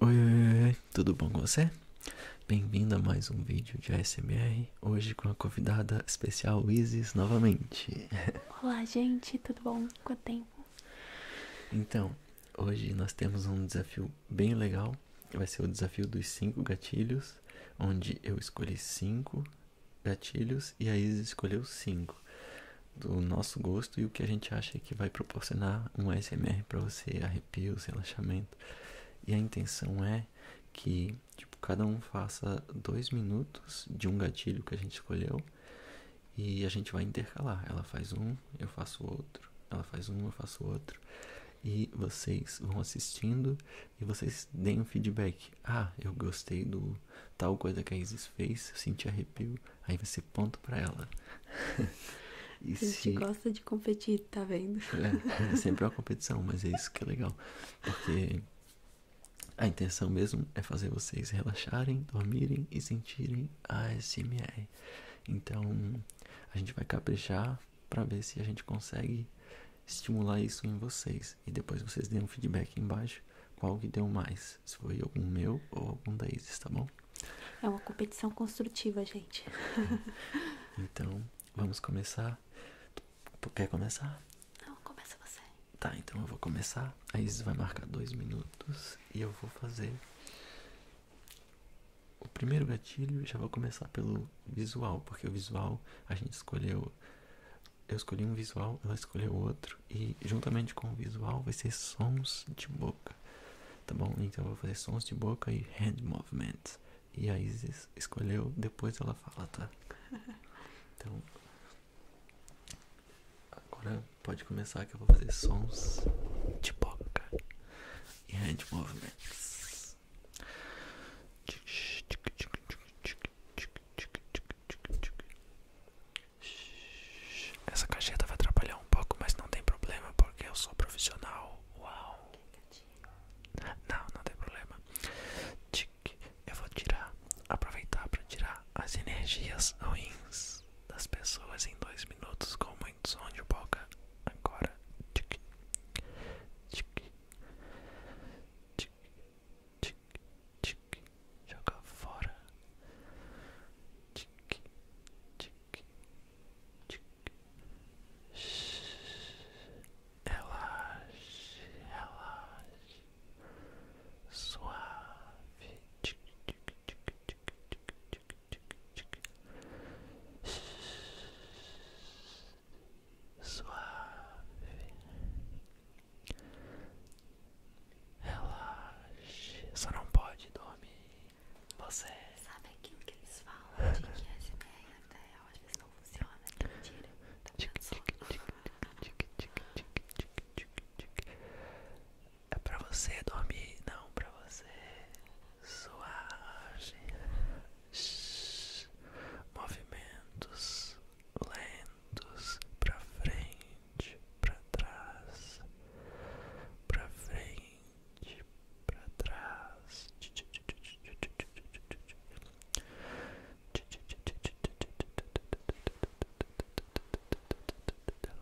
Oi, oi, oi, tudo bom com você? Bem-vindo a mais um vídeo de ASMR, hoje com a convidada especial Isis novamente. Olá, gente, tudo bom? com o tempo? Então, hoje nós temos um desafio bem legal vai ser o desafio dos cinco gatilhos, onde eu escolhi cinco gatilhos e a Isa escolheu cinco do nosso gosto e o que a gente acha que vai proporcionar um ASMR para você, arrepios, relaxamento. E a intenção é que tipo, cada um faça dois minutos de um gatilho que a gente escolheu e a gente vai intercalar. Ela faz um, eu faço outro ela faz um, eu faço outro, e vocês vão assistindo e vocês deem um feedback. Ah, eu gostei do tal coisa que a Isis fez, eu senti arrepio, aí você ser ponto para ela. e a gente gosta de competir, tá vendo? É, é, sempre uma competição, mas é isso que é legal, porque a intenção mesmo é fazer vocês relaxarem, dormirem e sentirem a ASMR. Então, a gente vai caprichar para ver se a gente consegue estimular isso em vocês. E depois vocês deem um feedback embaixo qual que deu mais. Se foi algum meu ou algum da Isis, tá bom? É uma competição construtiva, gente. então, vamos começar. Tu quer começar? Não, começa você. Tá, então eu vou começar. A Isis vai marcar dois minutos e eu vou fazer o primeiro gatilho já vou começar pelo visual, porque o visual a gente escolheu. Eu escolhi um visual, ela escolheu outro, e juntamente com o visual vai ser sons de boca. Tá bom? Então eu vou fazer sons de boca e hand movements. E a Isis escolheu, depois ela fala, tá? Então. Agora pode começar que eu vou fazer sons de boca e hand movements. Essa cacheta vai atrapalhar um pouco, mas não tem problema porque eu sou profissional. Uau! Não, não tem problema. Eu vou tirar, aproveitar para tirar as energias ruins das pessoas em dois minutos com muito som de boca Agora, tic, tic, tic, tic, tic, joga fora, tic, tic, tic, relaxe, ela suave, tic, tic, tic, tic, suave, relaxe, só não pode dormir. Você sabe aquilo que eles falam de que a SMR na vida às vezes não funciona? Que mentira, tá pensando? É pra você dormir, não pra você suar. Movimentos lentos pra frente, pra trás, pra frente, pra trás.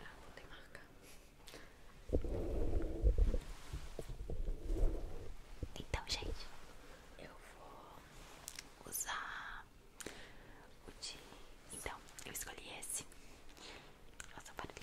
Ah, não tem marca. Então, gente, eu vou usar o de. Então, eu escolhi esse. Nossa, para aqui.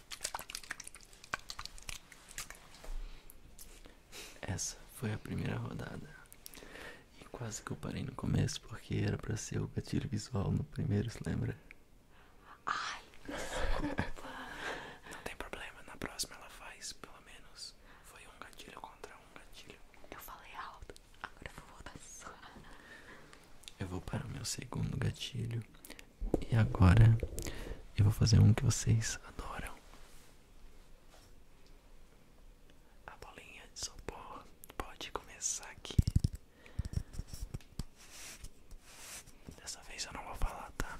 Essa foi a primeira rodada. E quase que eu parei no começo porque era pra ser o gatilho visual no primeiro, se lembra? Ai, desculpa. Não tem problema, na próxima ela faz, pelo menos. Foi um gatilho contra um gatilho. Eu falei alto, agora eu vou voltar sua Eu vou para o meu segundo gatilho. E agora eu vou fazer um que vocês adoram. A bolinha de sopor pode começar aqui. Dessa vez eu não vou falar, tá?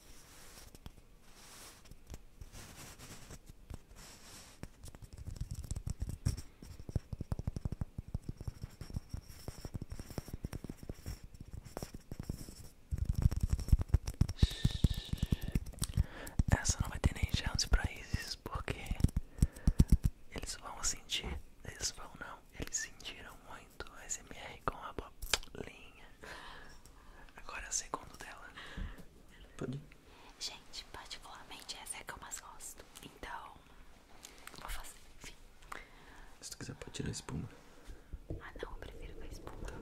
Essa não vai ter nem chance para eles porque eles vão sentir, eles vão não, eles sentiram muito muito SMR com a bolinha. Agora é o segundo dela. Pode. Gente, particularmente essa é que eu mais gosto. Então, vou fazer, enfim. Se tu quiser pode tirar a espuma. Ah não, eu prefiro com a espuma. Tá.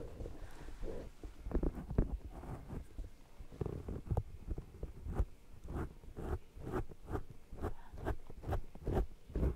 Hum.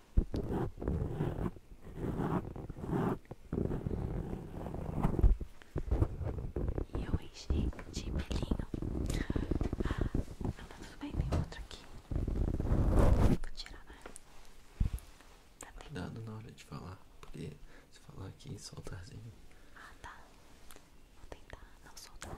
E eu enchi de pelinho. Ah, não, tudo bem, tem outro aqui. Vou tirar, né? Tá Cuidado na hora de falar, porque se falar aqui, soltarzinho. Ah, tá. Vou tentar não soltar.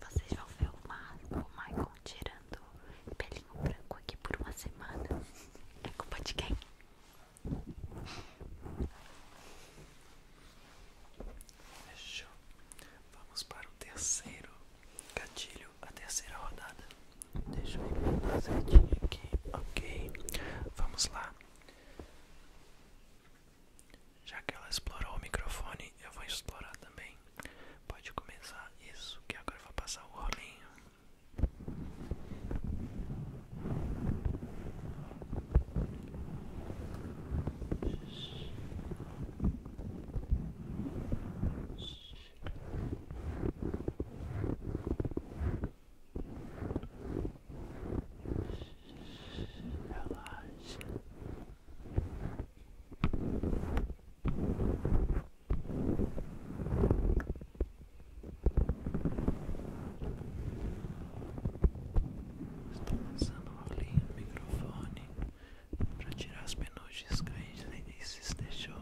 Vocês vão ver o, Ma o Michael tirando pelinho branco aqui por uma semana. É culpa de quem? Fechou. Vamos para o terceiro gatilho, a terceira rodada. Deixa eu ir aqui, ok? Vamos lá. Já que ela explorou o microfone, eu vou explorar também. Pode começar isso, que agora vou passar o rolinho. Relaxa. Estou tá lançando uma linha no microfone para tirar as penugens que a Isis deixou.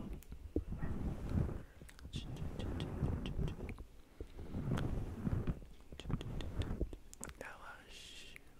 Relaxe,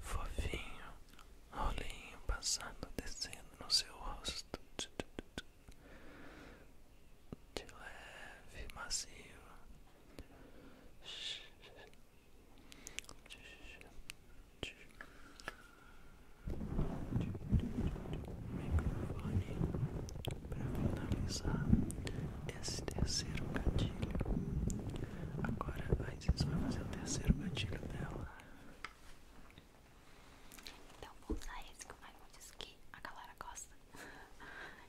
Fofinho, rolinho passando, descendo no seu rosto, de leve, macio microfone para finalizar esse terceiro gatilho. Agora a Isis vai fazer o terceiro gatilho dela. Então vou usar esse que o Michael disse que a galera gosta.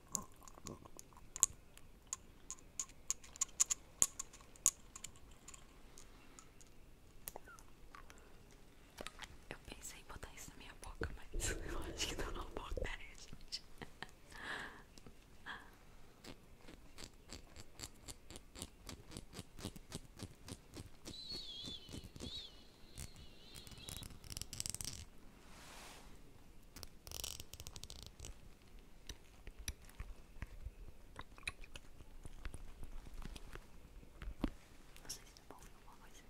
Eu pensei em botar isso na minha boca, mas eu acho que não tá na boca, né, não sei se tá bom alguma coisa.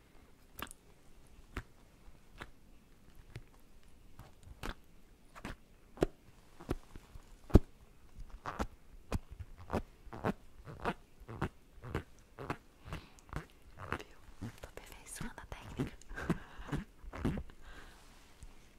Viu? Tô aperfeiçoando a técnica.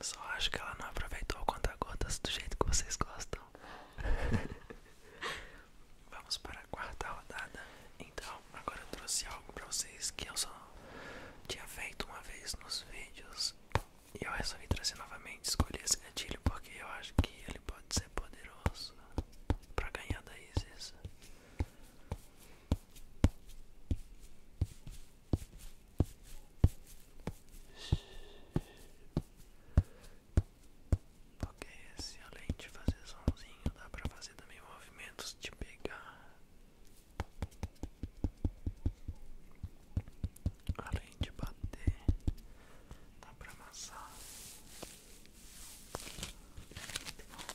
Só acho que ela não aproveitou o conta-gotas do jeito que vocês gostam. Vamos para a quarta rodada. Então, agora eu trouxe algo pra vocês que eu só tinha feito uma vez nos vídeos e eu resolvi trazer novamente. escolher esse gatilho porque eu acho que ele pode ser poderoso pra ganhar da Isis. Porque se além de fazer somzinho, dá pra fazer também movimentos de pegar Além de bater, dá pra amassar. É muito bom.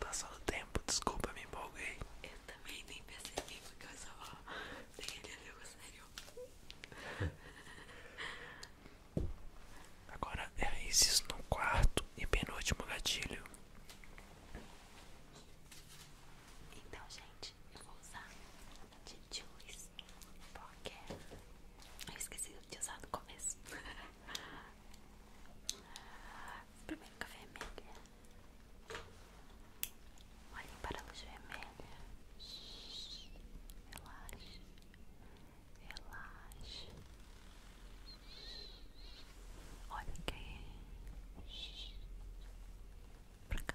Passou o tempo, desculpa, me empolguei. Eu também nem percebi porque eu só peguei ali o sério Agora é isso no quarto e penúltimo gatilho. Então, gente, eu vou usar de Juice porque eu esqueci de usar no começo. Primeiro café vermelho. Olhem para a luz vermelha. Relaxe. Relaxe. Olha quem. Pra cá.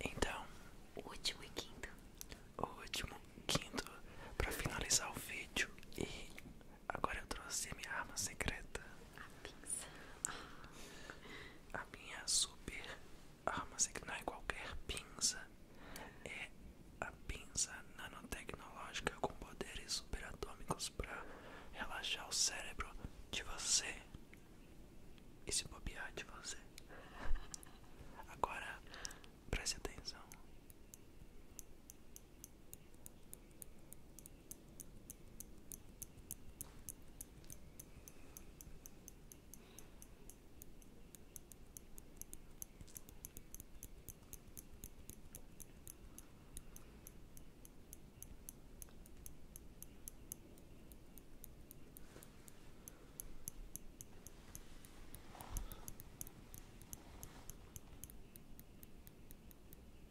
Então, o último e quinto. O último, quinto, para finalizar o vídeo. E agora eu trouxe a minha arma secreta. A pinça. A minha super ah, mas é, é qualquer pinça. É a pinça nanotecnológica com poderes superatômicos para relaxar o cérebro de você. E se bobear de você. Agora, preste atenção.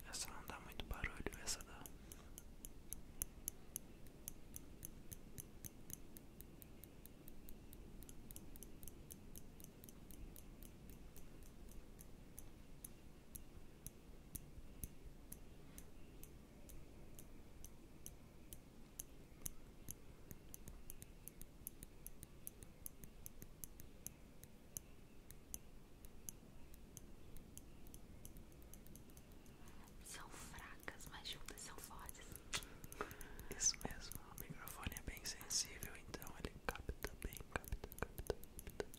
Essa não dá muito barulho, essa dá. São fracas, mas juntas são fortes. Isso mesmo, o microfone é bem sensível, então ele capta bem, capta, capta, capta.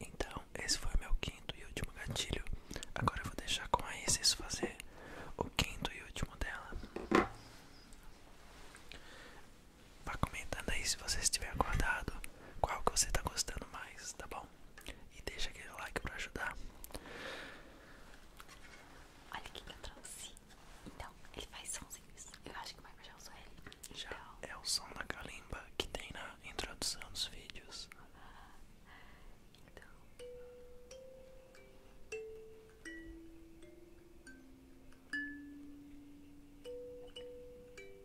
Então, esse foi meu quinto e último gatilho. Agora eu vou deixar com a Isis fazer o quinto e último dela. Vá comentando aí se você estiver acordado Qual que você está gostando mais, tá bom? E deixa aquele like pra ajudar Olha o que eu trouxe Então, ele faz sonzinhos Eu acho que vai Michael o usou ele então... Já é o som da calimba que tem na introdução dos vídeos Então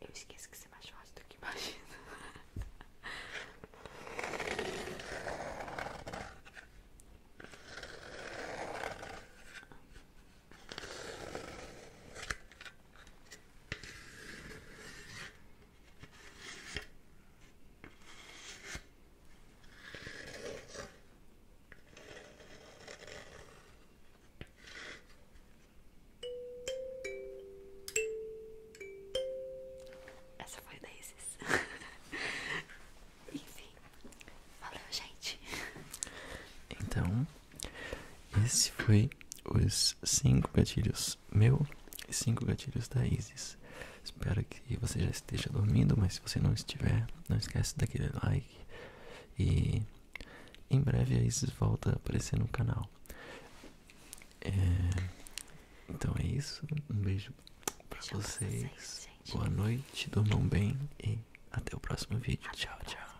Eu esqueço que ser mais fácil do que imagina essa foi da Isis. Enfim, valeu, gente. Então, esse foi os cinco gatilhos meu e cinco gatilhos da Isis. Espero que você já esteja dormindo, mas se você não estiver, não esquece daquele like e em breve a Isis volta a aparecer no canal. É... Então é isso. Um beijo pra vocês. Boa noite, dormam bem e até o próximo vídeo. Tchau, tchau.